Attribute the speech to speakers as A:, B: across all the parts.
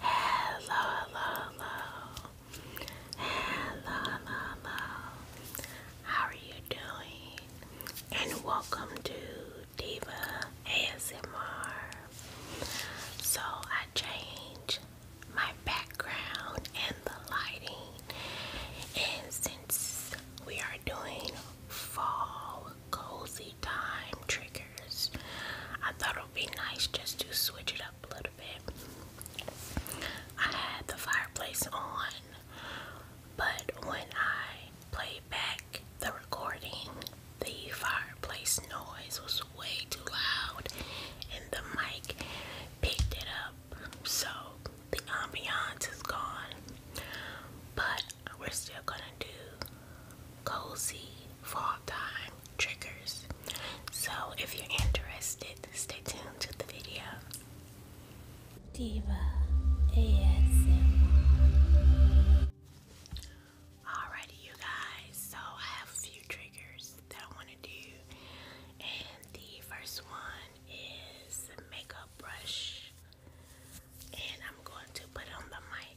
A: Hello, hello, hello. Hello, hello, How are you doing? And welcome to Diva ASMR. So I changed my background and the lighting. And since we are doing fall cozy time triggers. I thought it would be nice just to switch it up a little bit. I had the fireplace on, but when I played back the recording, the fireplace noise was way too loud and the mic picked it up. So the ambiance is gone. But we're still gonna do cozy fall time triggers. So if you're interested, stay tuned to the video. Diva ASMR. Alrighty, you guys. So I have a few triggers that I want to do, and the first one is makeup brush, and I'm going to put on the mic.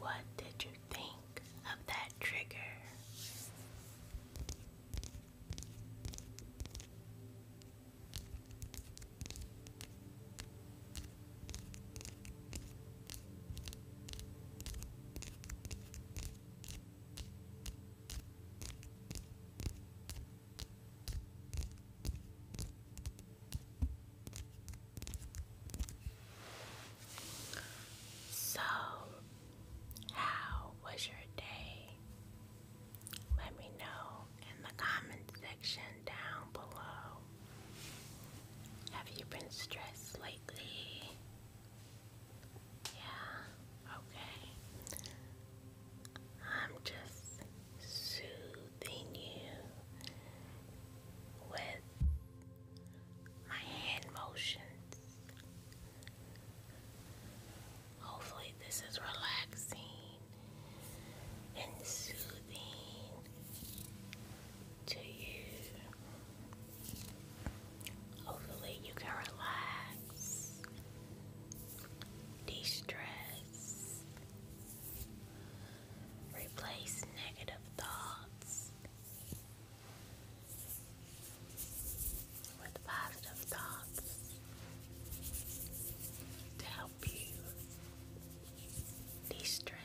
A: What did you think of that trigger? So, how was your day? Let me know in the comment section down below. Have you been stressed lately? Yeah, okay. I'm just soothing you with my hand motions. Hopefully, this is relaxing and soothing to you. Hopefully, you can relax de stress, replace negative thoughts with positive thoughts to help you de stress.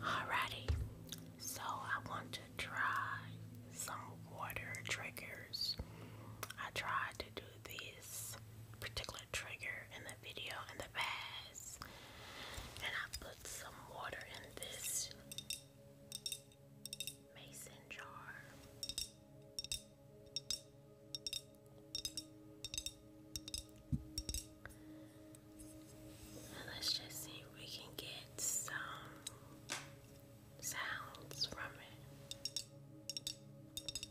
A: Alrighty, so I want to try some water triggers. I tried do this particular trigger in the video in the past. And I put some water in this mason jar. let's just see if we can get some sounds from it.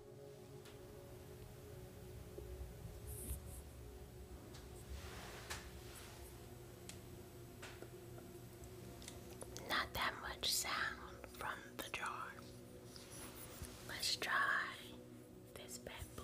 A: Not that much sound from the jar. Let's try this bad boy.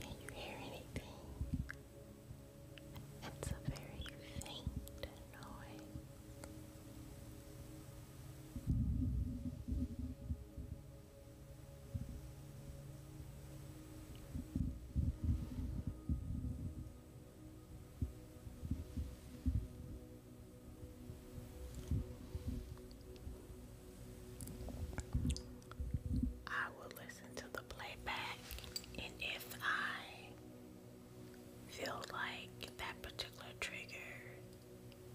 A: Can you hear anything? It's a very faint noise. I will listen to the playback, and if I feel like that particular trigger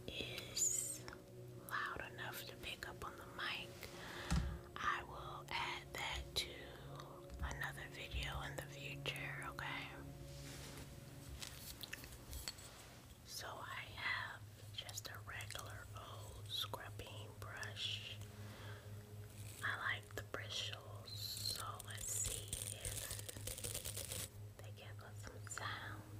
A: is loud enough to pick up on the mic, I will add that to another video in the future, okay? So I have just a regular old scrubbing brush. I like the bristles, so let's see if they give us some sound.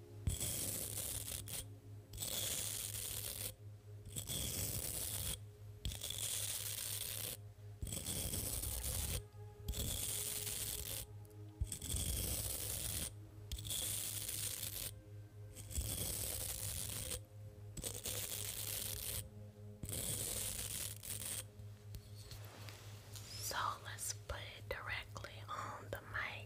A: So let's put it directly on the mic.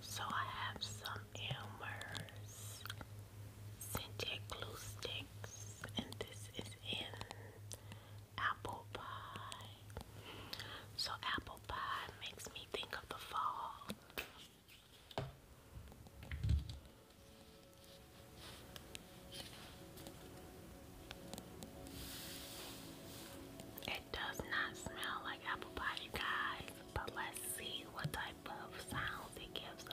A: so I have some Elmer's scented glue sticks, and this is in apple pie. So apple pie makes me think of the fall. It does not smell like apple pie, guys, but let's see what type of sounds it gives us.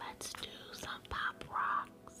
A: Let's do some pop rocks.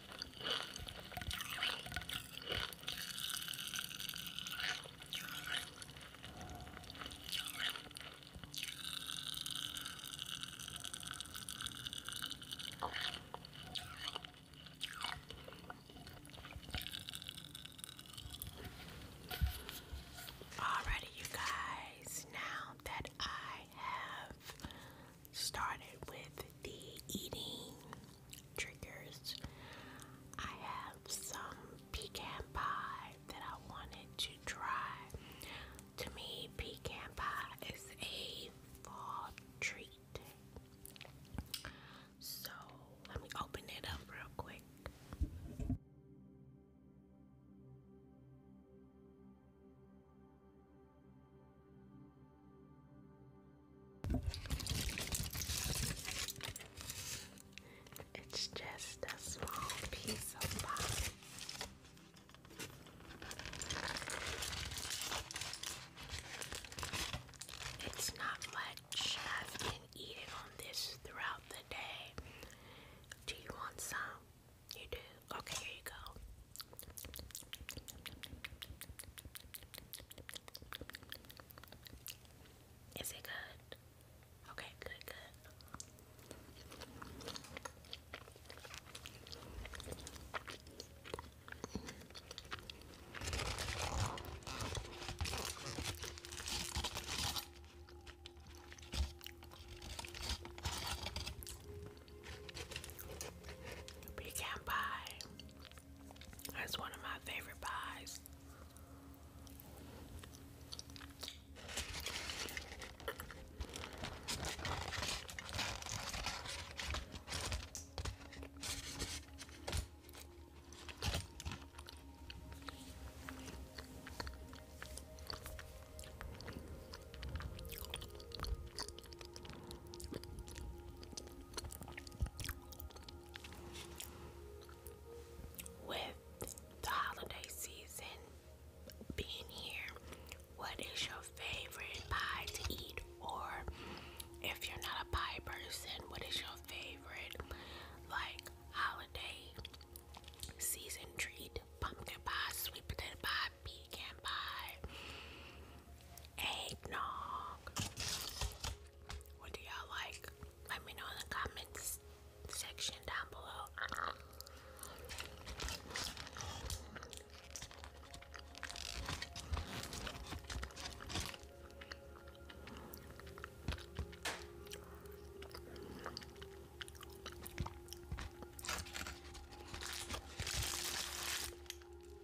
A: Alrighty, you guys, now that I have started with the eating, triggers. I have some pecan pie that I wanted to try. To me, pecan pie is a fall treat. So let me open it up real quick. It's just a small piece of pie. It's not much. I've been eating on this throughout the day. Do you want some? You do? Okay, here you go. Is it good? Okay, good, good. You can buy that's one of my favorite pies. With the holiday season being here, what is your favorite pie to eat? Or if you're not a pie person, what is your favorite like holiday season treat? Pumpkin pie, sweet potato pie, pecan pie, eggnog. What do y'all like? Let me know in the comments section down below.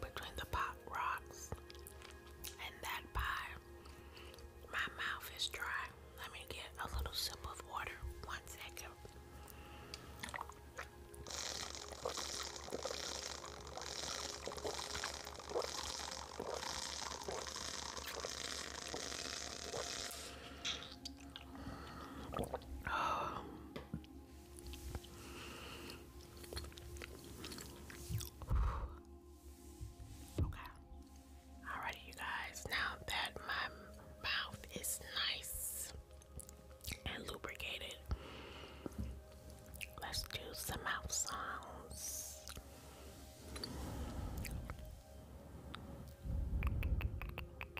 A: between the pop rocks and that pie. My mouth is dry. Let me get a little sip of water. One second. Okay. Alrighty, you guys. Now that my mouth is nice and lubricated, let's do some mouth sounds.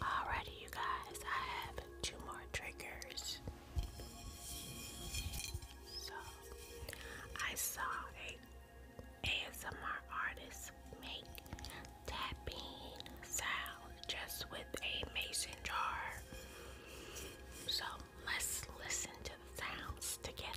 A: Alrighty, you guys, I have two more triggers. So, I saw a ASMR artist make tapping sound just with a mason jar. So, let's listen to the sounds together.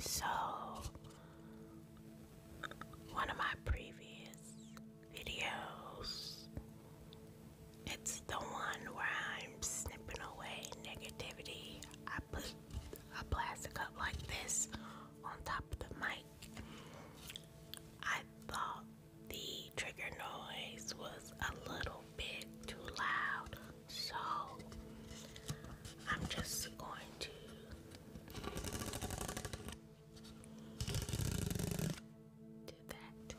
A: So, one of my previous videos, it's the one where I'm snipping away negativity. I put a plastic cup like this on top of the mic I thought the trigger noise was a little bit too loud, so I'm just going to do that.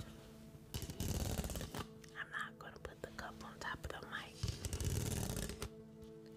A: I'm not going to put the cup on top of the mic.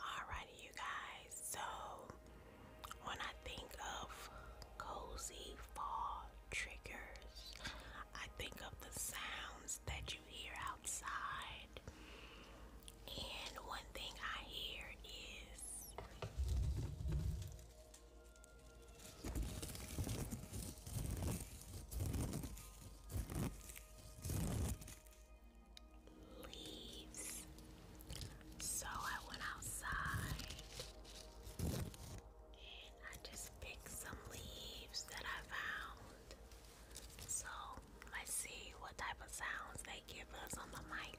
A: Alrighty, you guys. So, when I think of cozy fall triggers, I think of the sounds that you hear outside. And one thing I hear is leaves. So I went outside and I just picked some leaves that I found. So let's see what type of sounds they give us on the mic.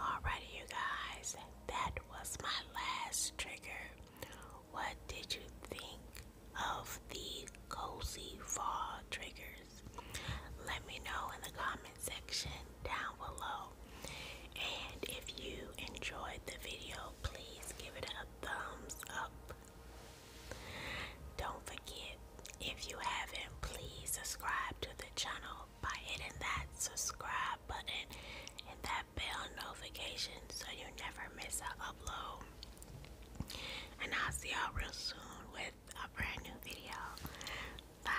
A: Alrighty, you guys, that was my last trigger. What did you think of the cozy fall triggers? Let me know in the comment section down below. And if you enjoyed the video, please give it a thumbs up. Don't forget, if you haven't, please subscribe to the channel by hitting that subscribe button and that bell notification so you never miss an upload. And I'll see y'all real soon with a brand new video. Bye.